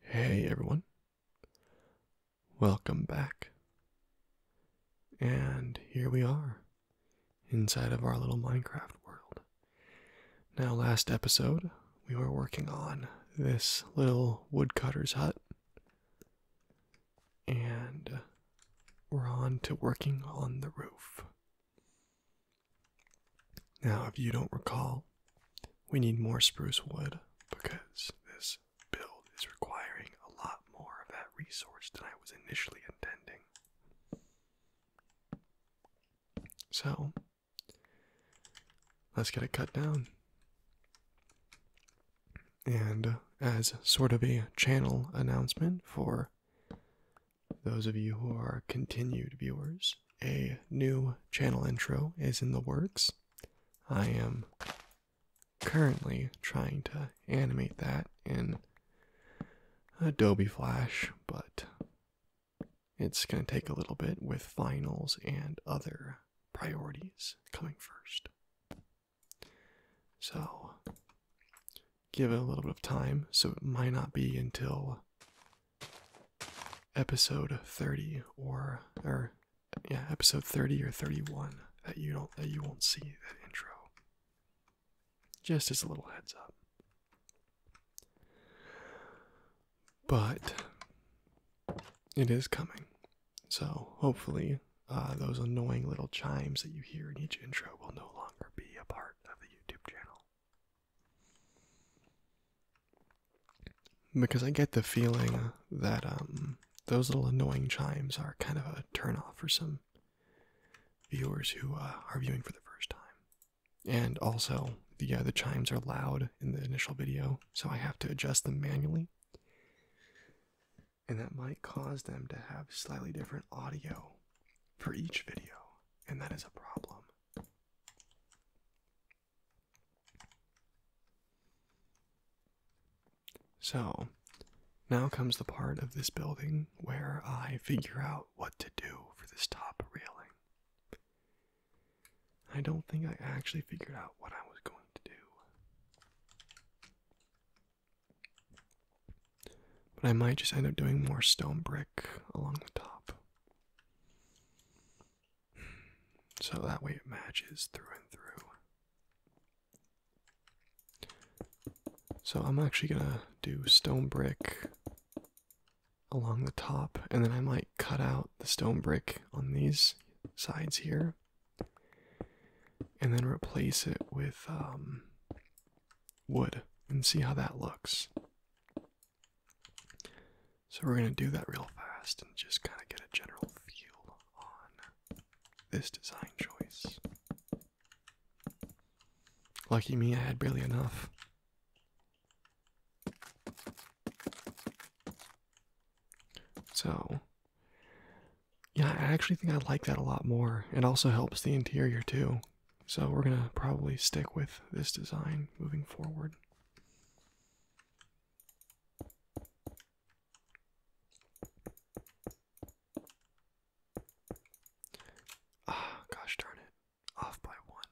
Hey everyone, welcome back. And here we are inside of our little Minecraft world. Now, last episode, we were working on this little woodcutter's hut, and we're on to working on the roof. Now, if you don't recall, we need more spruce wood because this build is requiring a lot more of that resource than I was initially intending. So, let's get it cut down. And as sort of a channel announcement for those of you who are continued viewers, a new channel intro is in the works. I am currently trying to animate that in Adobe Flash, but it's going to take a little bit with finals and other priorities coming first. So, give it a little bit of time, so it might not be until episode 30 or or yeah, episode 30 or 31 that you don't that you won't see that intro. Just as a little heads up. But it is coming. So hopefully uh, those annoying little chimes that you hear in each intro will no longer be a part of the YouTube channel. Because I get the feeling that um, those little annoying chimes are kind of a turnoff for some viewers who uh, are viewing for the first time. And also, the uh, the chimes are loud in the initial video, so I have to adjust them manually, and that might cause them to have slightly different audio for each video and that is a problem. So, now comes the part of this building where I figure out what to do for this top railing. I don't think I actually figured out what I was going to do. But I might just end up doing more stone brick along the top. So that way it matches through and through. So I'm actually gonna do stone brick along the top, and then I might cut out the stone brick on these sides here, and then replace it with um, wood and see how that looks. So we're going to do that real fast and just kind of get a general feel on this design choice. Lucky me, I had barely enough. So, yeah, I actually think I like that a lot more. It also helps the interior too. So we're going to probably stick with this design moving forward. Ah, gosh darn it. Off by one.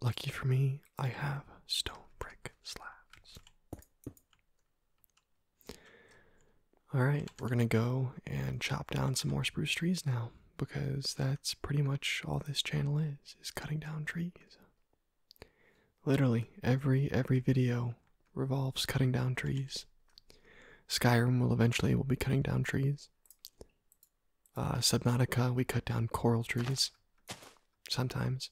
Lucky for me, I have stone brick slabs. Alright, we're gonna go and chop down some more spruce trees now because that's pretty much all this channel is is cutting down trees literally every every video revolves cutting down trees skyrim will eventually will be cutting down trees uh, subnautica we cut down coral trees sometimes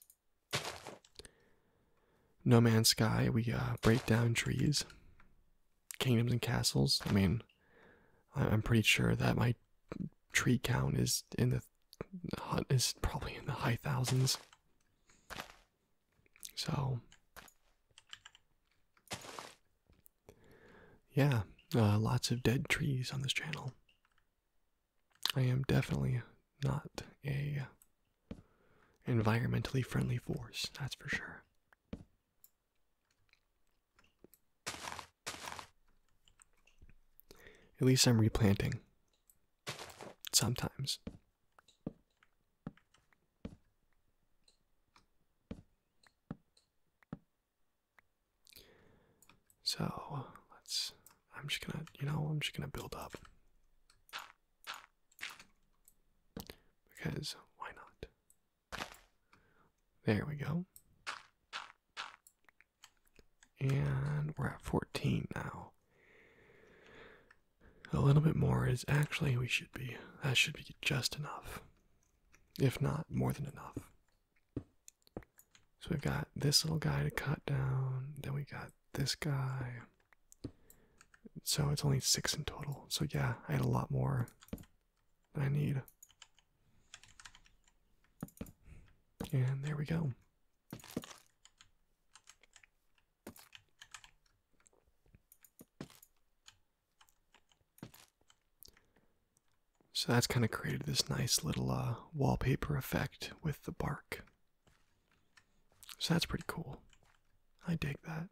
no man's sky we uh, break down trees kingdoms and castles. I mean, I'm pretty sure that my tree count is in the is probably in the high thousands. So, yeah, uh, lots of dead trees on this channel. I am definitely not a environmentally friendly force, that's for sure. At least I'm replanting. Sometimes. So let's. I'm just gonna, you know, I'm just gonna build up. Because why not? There we go. And we're at 14 now. A little bit more is actually we should be. That should be just enough. If not, more than enough. So we've got this little guy to cut down, then we got this guy. So it's only six in total. So yeah, I had a lot more I need. And there we go. So that's kind of created this nice little uh, wallpaper effect with the bark. So that's pretty cool. I dig that.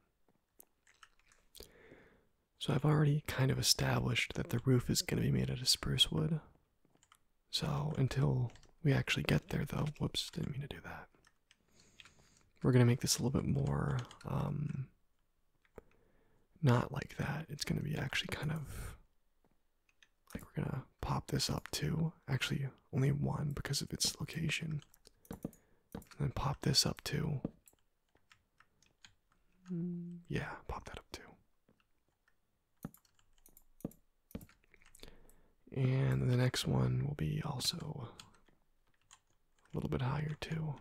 So I've already kind of established that the roof is going to be made out of spruce wood. So until we actually get there, though, whoops, didn't mean to do that. We're going to make this a little bit more um, not like that. It's going to be actually kind of like we're going to pop this up to actually only one because of its location. And pop this up to yeah, pop that up too. And the next one will be also a little bit higher too.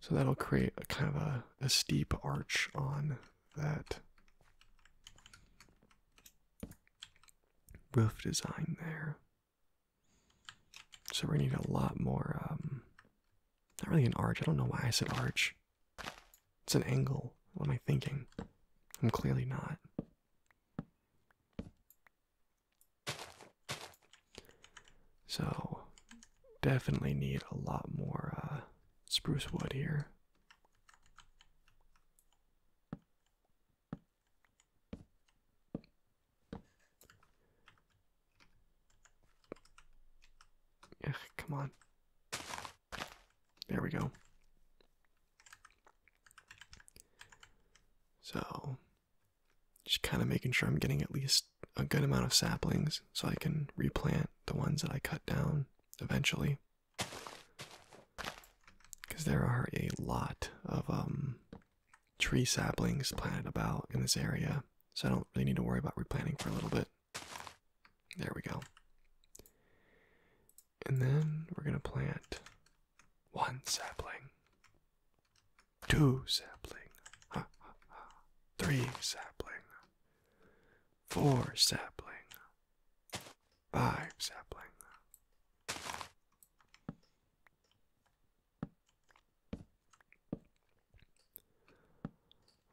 So that'll create a kind of a, a steep arch on that roof design there. So we're gonna need a lot more, um, not really an arch. I don't know why I said arch. It's an angle. What am I thinking? I'm clearly not. So, definitely need a lot more uh, spruce wood here. Ugh, come on. There we go. So, just kind of making sure I'm getting at least a good amount of saplings so I can replant the ones that I cut down eventually. Because there are a lot of um, tree saplings planted about in this area, so I don't really need to worry about replanting for a little bit. There we go. And then we're going to plant one sapling, two sapling, ha, ha, ha, three sapling, four sapling, five sapling.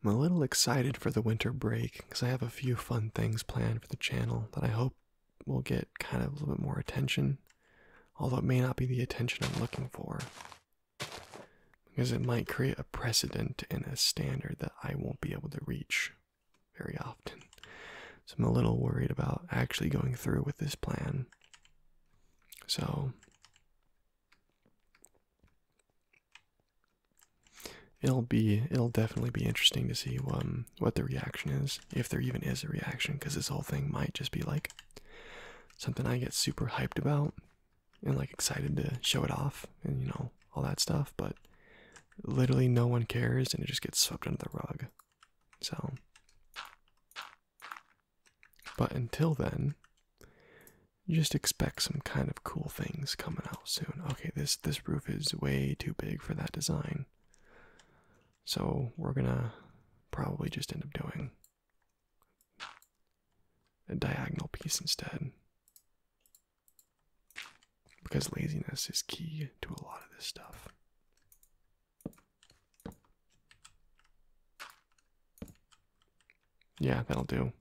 I'm a little excited for the winter break because I have a few fun things planned for the channel that I hope will get kind of a little bit more attention, although it may not be the attention I'm looking for. Because it might create a precedent and a standard that I won't be able to reach very often. So I'm a little worried about actually going through with this plan. So It'll be it'll definitely be interesting to see um, what the reaction is, if there even is a reaction, because this whole thing might just be like something I get super hyped about and like excited to show it off and you know all that stuff, but literally no one cares and it just gets swept under the rug. So but until then, just expect some kind of cool things coming out soon. Okay, this this roof is way too big for that design. So we're gonna probably just end up doing a diagonal piece instead. Because laziness is key to a lot of this stuff. Yeah, that'll do.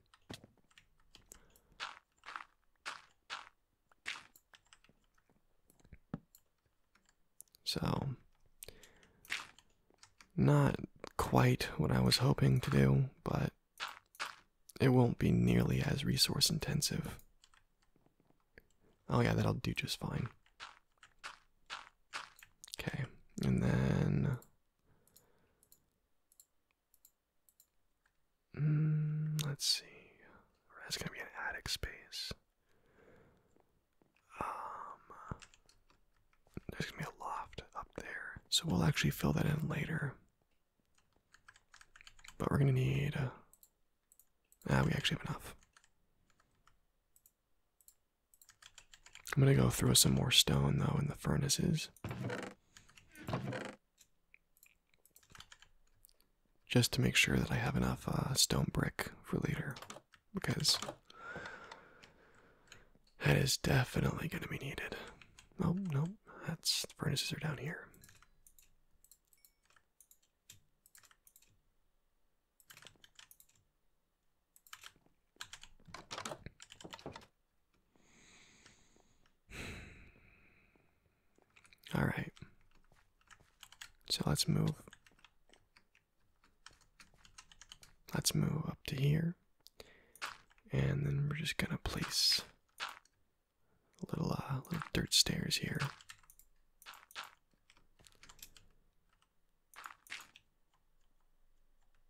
So, not quite what I was hoping to do, but it won't be nearly as resource intensive. Oh, yeah, that'll do just fine. Okay, and then mm, let's see. That's gonna be an attic space. Um, there's gonna be a loft up there, so we'll actually fill that in later. But we're gonna need. Uh, ah, we actually have enough. I'm gonna go throw some more stone though in the furnaces. Just to make sure that I have enough uh, stone brick for later, because that is definitely going to be needed. Oh no, that's the furnaces are down here. All right. So let's move. Let's move up to here. And then we're just gonna place little uh, little dirt stairs here.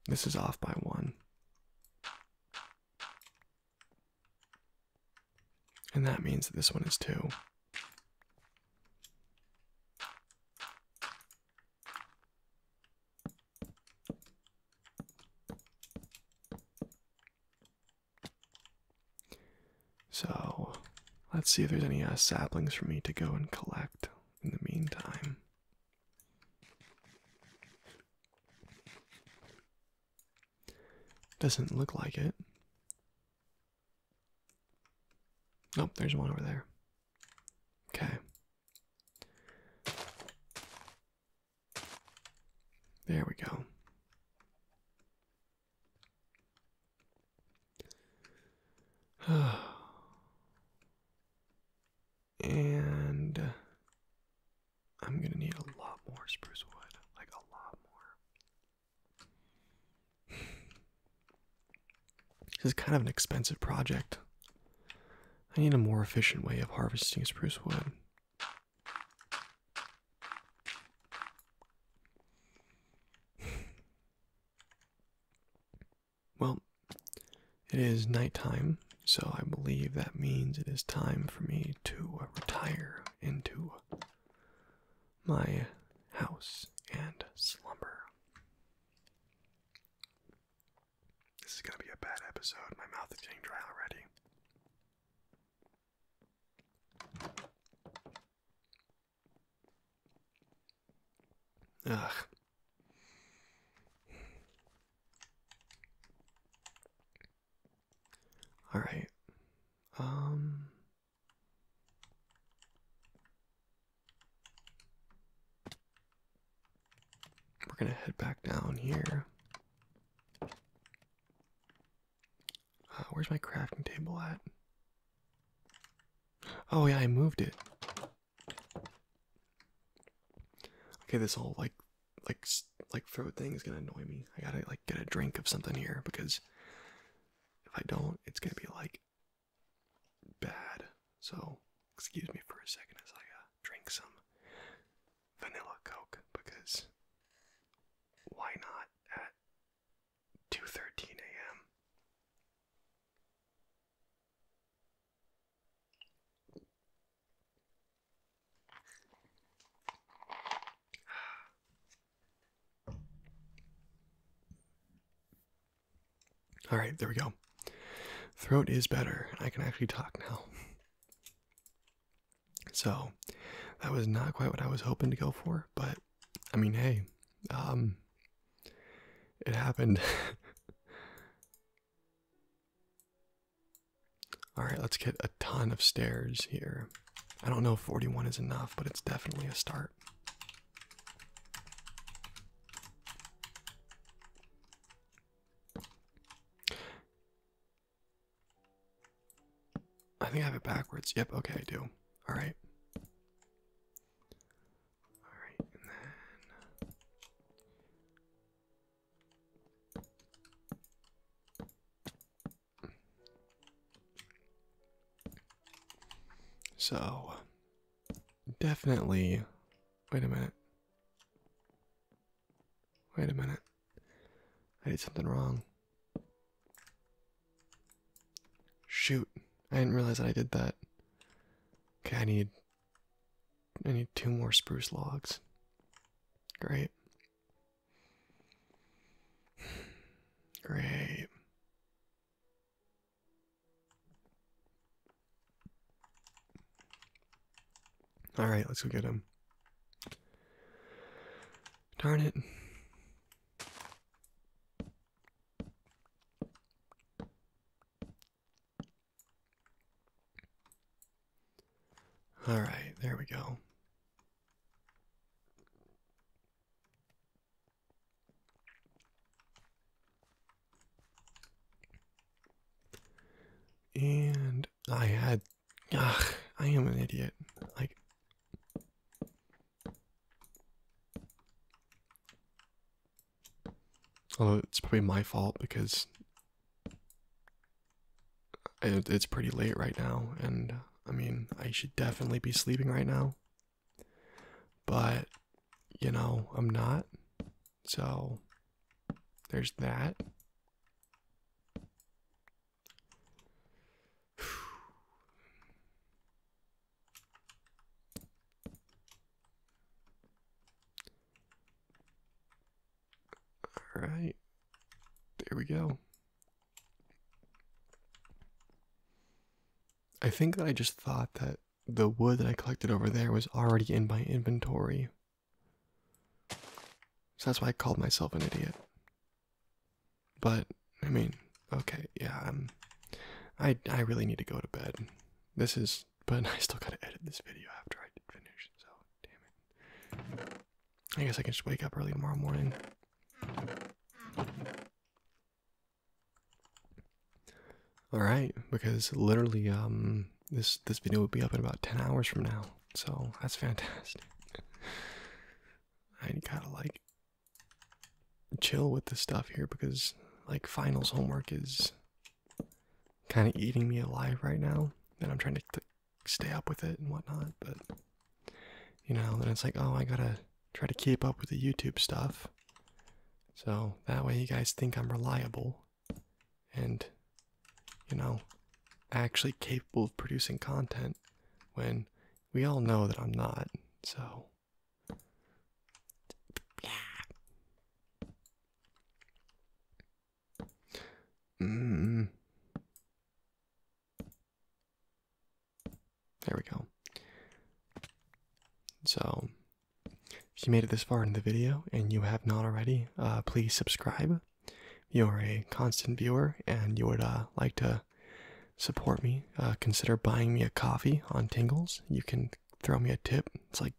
This is off by one. And that means that this one is two. So let's see if there's any uh, saplings for me to go and collect in the meantime. Doesn't look like it. Oh, there's one over there. Okay. There we go. And I'm gonna need a lot more spruce wood, like a lot more. this is kind of an expensive project. I need a more efficient way of harvesting spruce wood. Well, it is nighttime, so I believe that means it is time for me to uh, retire into my house and slumber. This is going to be a bad episode. My mouth is getting dry already. Ugh. All right. Um We're going to head back down here. Uh, where's my crafting table at? Oh yeah, I moved it. Okay, this whole like like like throat thing is gonna annoy me. I gotta like get a drink of something here because if I don't, it's gonna be like bad. So excuse me for a second as I uh, drink some vanilla coke because why not at two thirteen a.m. All right, there we go. Throat is better. I can actually talk now. So, that was not quite what I was hoping to go for, but I mean, hey, um, it happened. All right, let's get a ton of stairs here. I don't know if 41 is enough, but it's definitely a start. I think I have it backwards. Yep, okay, I do. All right. Alright, and then. Uh, so, definitely. Wait a minute. Wait a minute. I did something wrong. Shoot. I didn't realize that I did that. Okay, I need I need two more spruce logs. Great. Great. All right, let's go get them. Darn it. All right, there we go. And I had, ugh, I am an idiot. Like, Although it's probably my fault because it's pretty late right now, and I mean, I should definitely be sleeping right now. But, you know, I'm not. So, there's that. All right, there we go. I think that I just thought that the wood that I collected over there was already in my inventory. So that's why I called myself an idiot. But I mean, okay, yeah, um, i I really need to go to bed. This is but I still gotta edit this video after I finish, so damn it. I guess I can just wake up early tomorrow morning. Alright, because literally, um, this this video will be up in about 10 hours from now, so that's fantastic. I gotta like chill with the stuff here because like finals homework is kind of eating me alive right now, and I'm trying to stay up with it and whatnot. But you know, then it's like, oh, I gotta try to keep up with the YouTube stuff, so that way you guys think I'm reliable, and you know, actually capable of producing content when we all know that I'm not. So. Mm-hmm. There we go. So, if you made it this far in the video and you have not already, uh, please subscribe. You're a constant viewer and you would uh, like to support me. Uh, consider buying me a coffee on Tingles. You can throw me a tip. It's like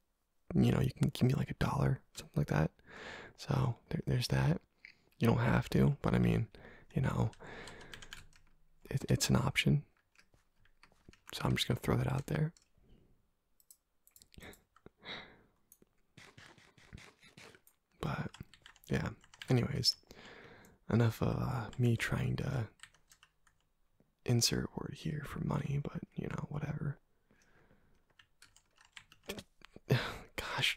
you know, you can give me like a dollar, something like that. So there's that. You don't have to, but I mean, you know, it's an option. So I'm just going to throw that out there. but yeah, anyways, enough of uh, me trying to insert word here for money, but you know, whatever. Gosh,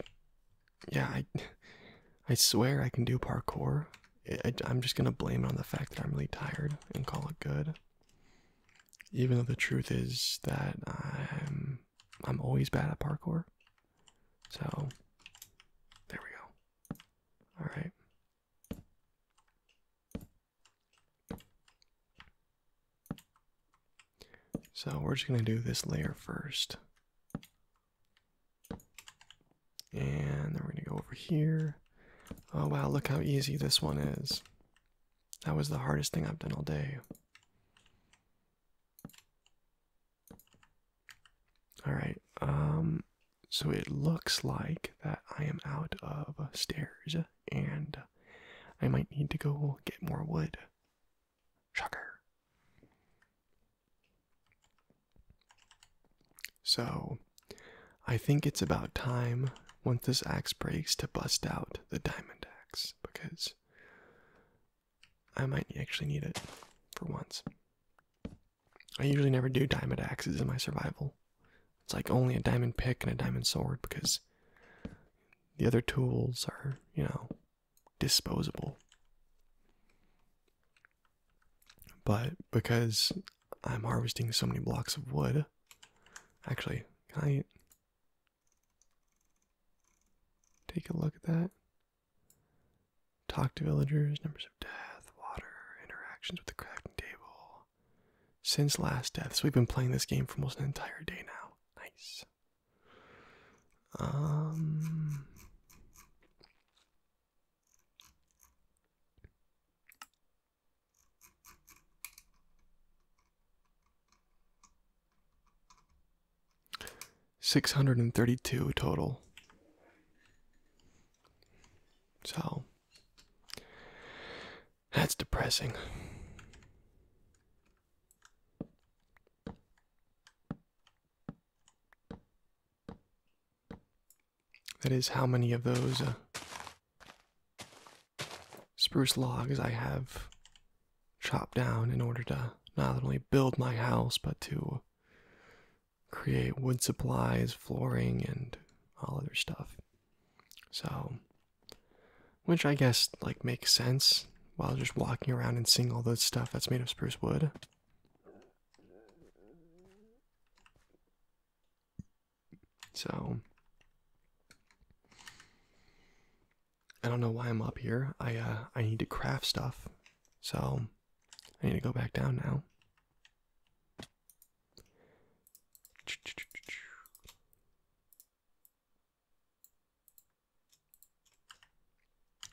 yeah, I, I swear I can do parkour. I, am just gonna blame it on the fact that I'm really tired and call it good. Even though the truth is that I'm, I'm always bad at parkour. So, there we go. All right. So we're just going to do this layer first. And then we're going to go over here. Oh wow, look how easy this one is. That was the hardest thing I've done all day. Alright, um, so it looks like that I am out of stairs and I might need to go get more wood. Shocker. So, I think it's about time once this axe breaks to bust out the diamond axe because I might actually need it for once. I usually never do diamond axes in my survival. It's like only a diamond pick and a diamond sword because the other tools are, you know, disposable. But because I'm harvesting so many blocks of wood, actually, can I take a look at that? Talk to villagers, numbers of death, water, interactions with the crafting table. Since last death, so we've been playing this game for almost an entire day now. Nice. Um. Six hundred and thirty two total. So that's depressing. That is how many of those uh, spruce logs I have chopped down in order to not only build my house, but to create wood supplies, flooring, and all other stuff. So which I guess like makes sense while just walking around and seeing all the stuff that's made of spruce wood. So I don't know why I'm up here. I uh I need to craft stuff. So I need to go back down now.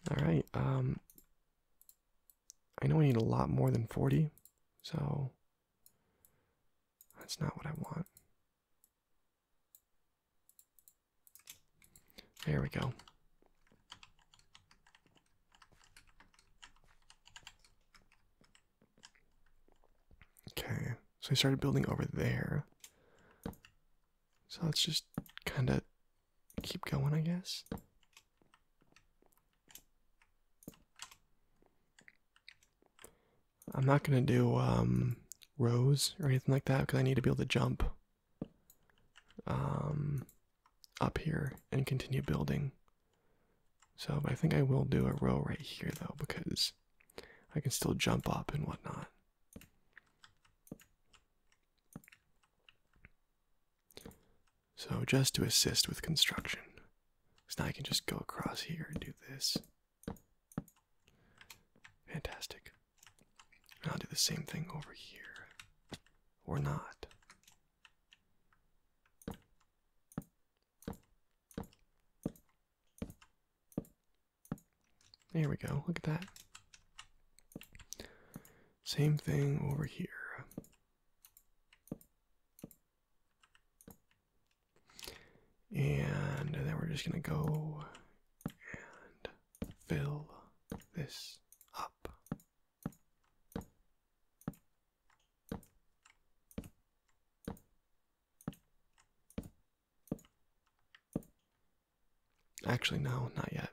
All right. Um, I know I need a lot more than 40, so that's not what I want. There we go. Okay, so I started building over there. So let's just kind of keep going, I guess. I'm not gonna do um, rows or anything like that because I need to be able to jump um, up here and continue building. So, but I think I will do a row right here though because I can still jump up and whatnot. So, just to assist with construction. So now I can just go across here and do this. Fantastic. And I'll do the same thing over here. Or not. There we go. Look at that. Same thing over here. And then we're just going to go and fill this up. Actually, no, not yet.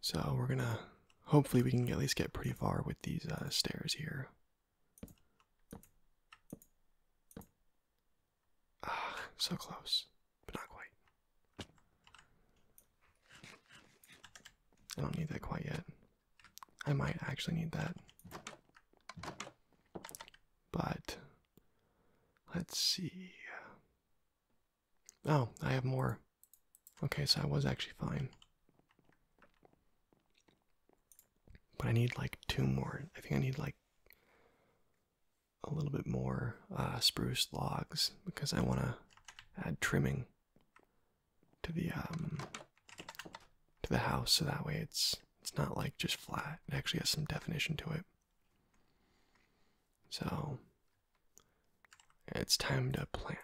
So we're gonna, hopefully we can at least get pretty far with these uh, stairs here. Ah, so close, but not quite. I don't need that quite yet. I might actually need that. But let's see. Oh, I have more. Okay, so I was actually fine. But I need like two more. I think I need like a little bit more uh, spruce logs because I want to add trimming to the um to the house so that way it's it's not like just flat. It actually has some definition to it. So it's time to plant.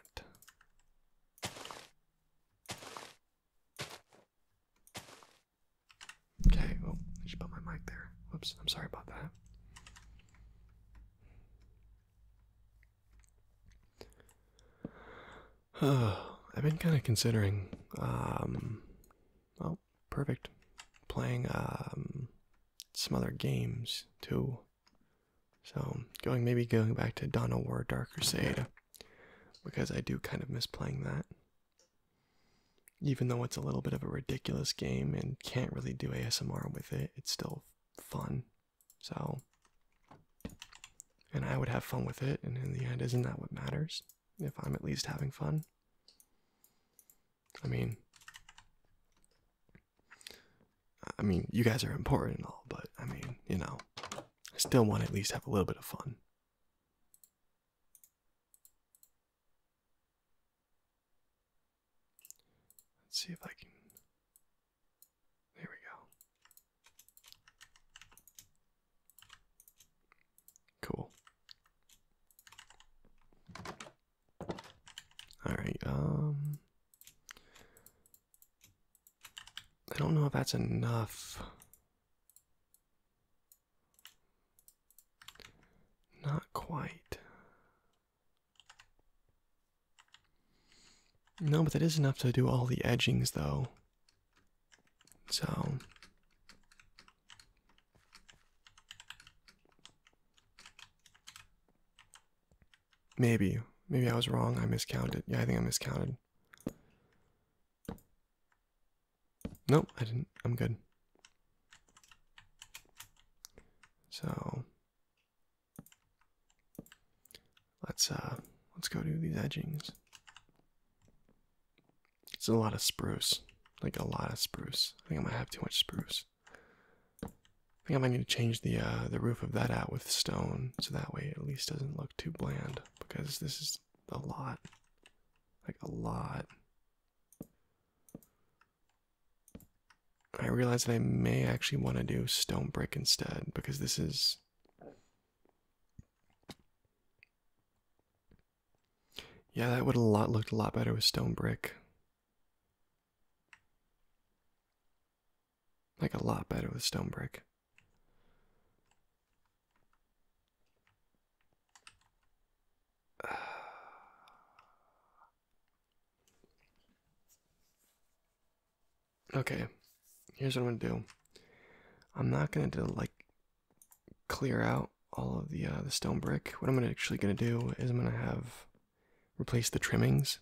Okay, oh, I should put my mic there. Whoops, I'm sorry about that. I've been kind of considering, um, oh, perfect, playing um, some other games too. So going maybe going back to Dawn of War, Dark Crusade, because I do kind of miss playing that. Even though it's a little bit of a ridiculous game and can't really do ASMR with it, it's still fun so, and I would have fun with it, and in the end, isn't that what matters? If I'm at least having fun? I mean, I mean, you guys are important and all, but I mean, you know, I still want to at least have a little bit of fun. Let's see if I can there we go. Cool. Alright, um. I don't know if that's enough. Not quite. No, but that is enough to do all the edgings, though. So. Maybe. Maybe I was wrong. I miscounted. Yeah, I think I miscounted. Nope, I didn't. I'm good. So. Let's uh let's go do these edgings. It's a lot of spruce. Like a lot of spruce. I think I might have too much spruce. I think I might need to change the uh the roof of that out with stone so that way at least doesn't look too bland because this is a lot. Like a lot. I realize that I may actually want to do stone brick instead because this is yeah, that would a lot looked a lot better with stone brick. Like a lot better with stone brick. Okay, here's what I'm gonna do. I'm not gonna do, like clear out all of the uh, the stone brick. What I'm gonna actually gonna do is I'm gonna have replace the trimmings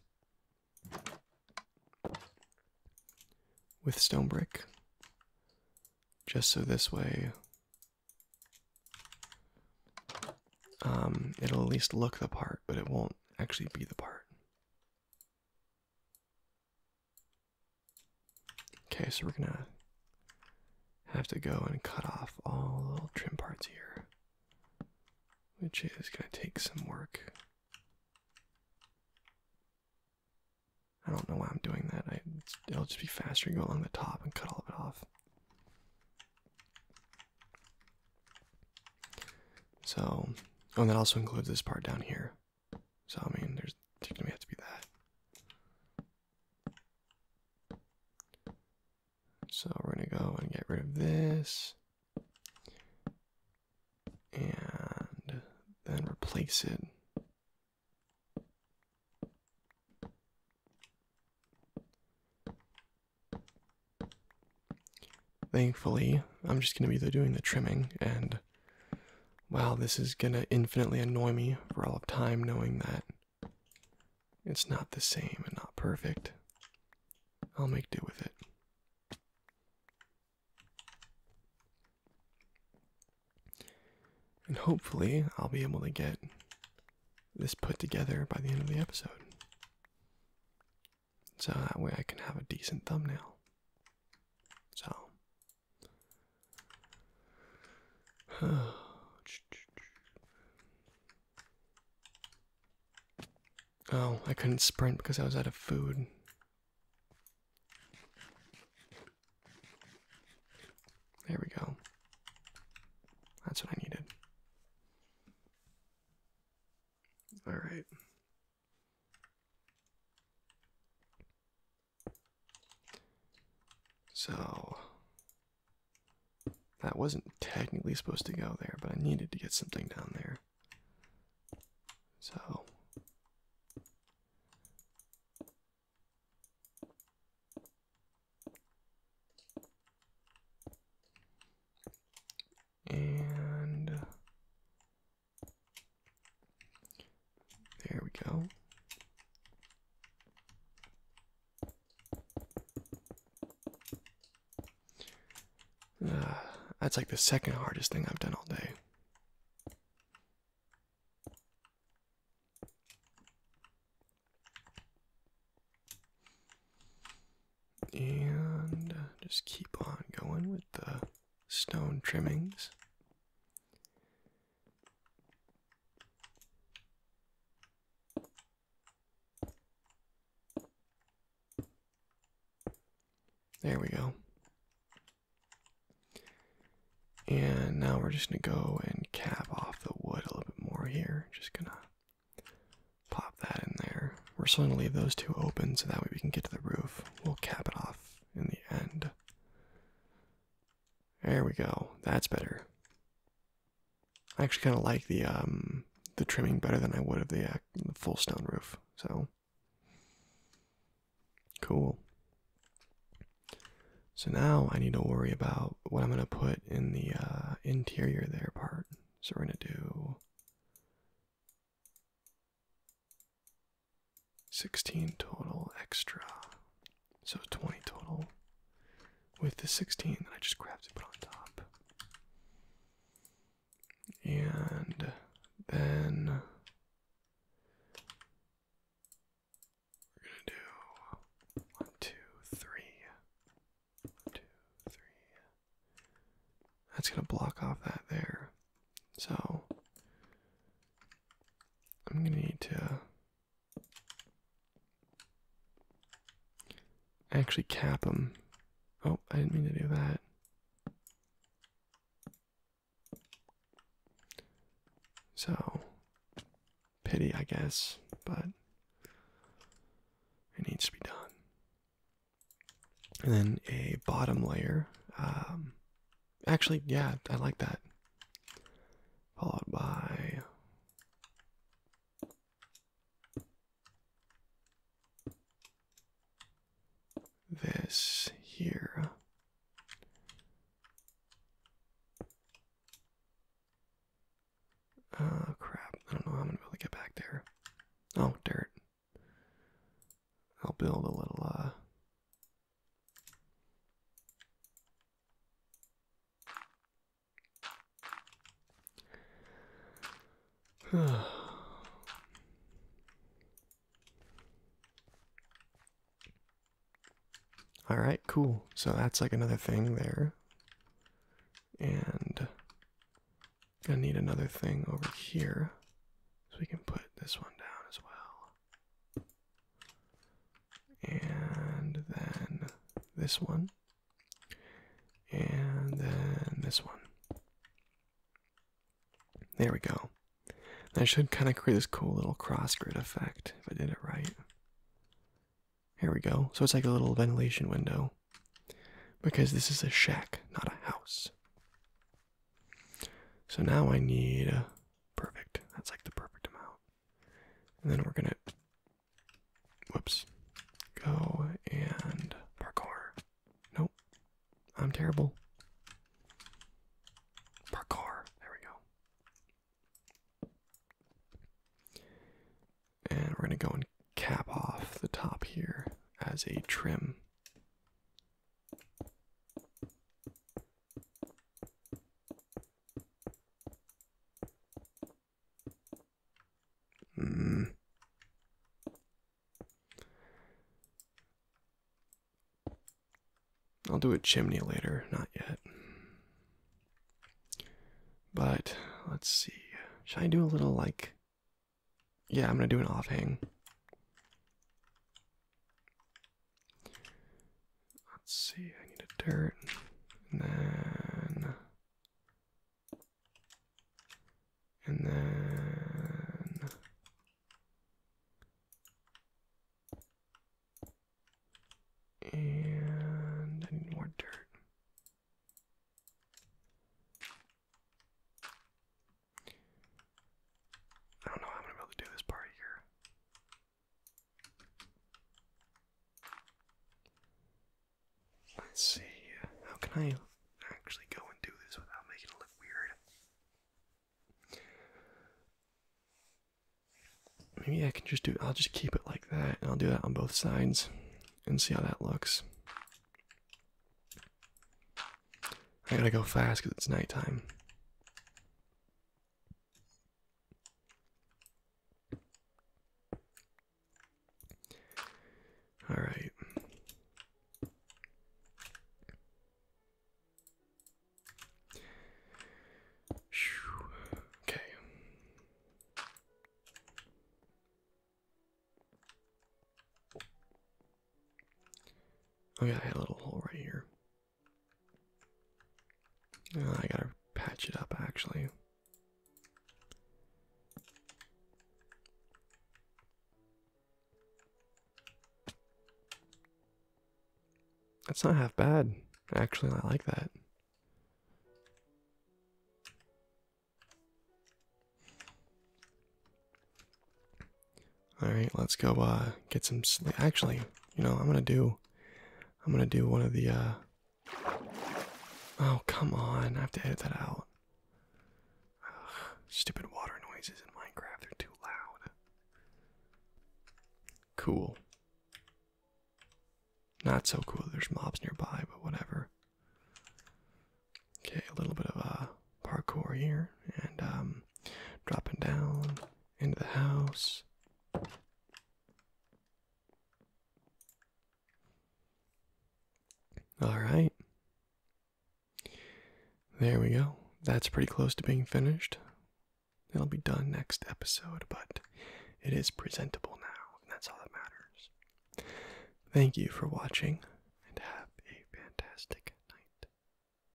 with stone brick, just so this way um, it'll at least look the part, but it won't actually be the part. Okay, so we're gonna have to go and cut off all little trim parts here, which is gonna take some work. I don't know why I'm doing that. it'll just be faster to go along the top and cut all of it off. So, oh, and that also includes this part down here. So I mean, there's gonna have to be that. So we're gonna go and get rid of this, and then replace it. Thankfully, I'm just going to be doing the trimming, and wow, this is going to infinitely annoy me for all of time knowing that it's not the same and not perfect. I'll make do with it. And hopefully, I'll be able to get this put together by the end of the episode so that way I can have a decent thumbnail. So, oh, I couldn't sprint because I was out of food. There we go. That's what I needed. All right. So that wasn't technically supposed to go there, but I needed to get something down there. So and there we go. Uh, that's like the second hardest thing I've done all day. And just keep on going with the stone trimmings. There we go. And now we're just going to go and cap off the wood a little bit more here. Just going to pop that in there. We're still going to leave those two open so that way we can get to the roof. We'll cap it off in the end. There we go. That's better. I actually kind of like the um the trimming better than I would of uh, the, full stone roof. So cool. So now I need to worry about what I'm gonna put in the uh, interior there part. So we're gonna do 16 total extra. So 20 total with the 16 that I just crafted put on top. And then we're gonna do one, two, three. That's gonna block off that there. So I'm going to need to actually cap them. Oh, I didn't mean to do that. So, pity, I guess, but it needs to be done. And then a bottom layer. Um, Actually, yeah, I like that. Followed by this here. Oh, crap. I don't know how I'm going to be able to get back there. Oh, dirt. I'll build a little uh All right, cool. So that's like another thing there. And gonna need another thing over here. So we can put this one down as well and then this one, and then this one. There we go. That should kind of create this cool little cross grid effect if I did it right. Here we go. So it's like a little ventilation window because this is a shack, not a house. So now I need a perfect. That's like the perfect amount. And then we're gonna whoops. Go and parkour. Nope. I'm terrible. Parkour. There we go. And we're going to go and cap off the top here as a trim. Mm. I'll do a chimney later, not yet. But let's see. Should I do a little like. Yeah, I'm gonna do an off hang. Let's see, I need a dirt, and then, and then, and I need more dirt. I don't know how I'm gonna be able to do this part here. Let's see, how can I actually go and do this without making it look weird? Maybe I can just do, I'll just keep it like that, and I'll do that on both sides, and see how that looks. I gotta go fast because it's nighttime. All right. Okay. Oh yeah, I had a little hole right here. Oh, I gotta patch it up actually. That's not half bad. Actually, I like that. Alright, let's go uh, get some sleep. Actually, you know, I'm gonna do I'm gonna do one of the uh, Oh come on, I have to edit that out. stupid water noises in Minecraft, they're too loud. Cool. Not so cool there's mobs nearby, but whatever. Okay, a little bit of uh parkour here and um, dropping down into the house. All right. There we go. That's pretty close to being finished. It'll be done next episode, but it is presentable now, and that's all that matters. Thank you for watching, and have a fantastic night.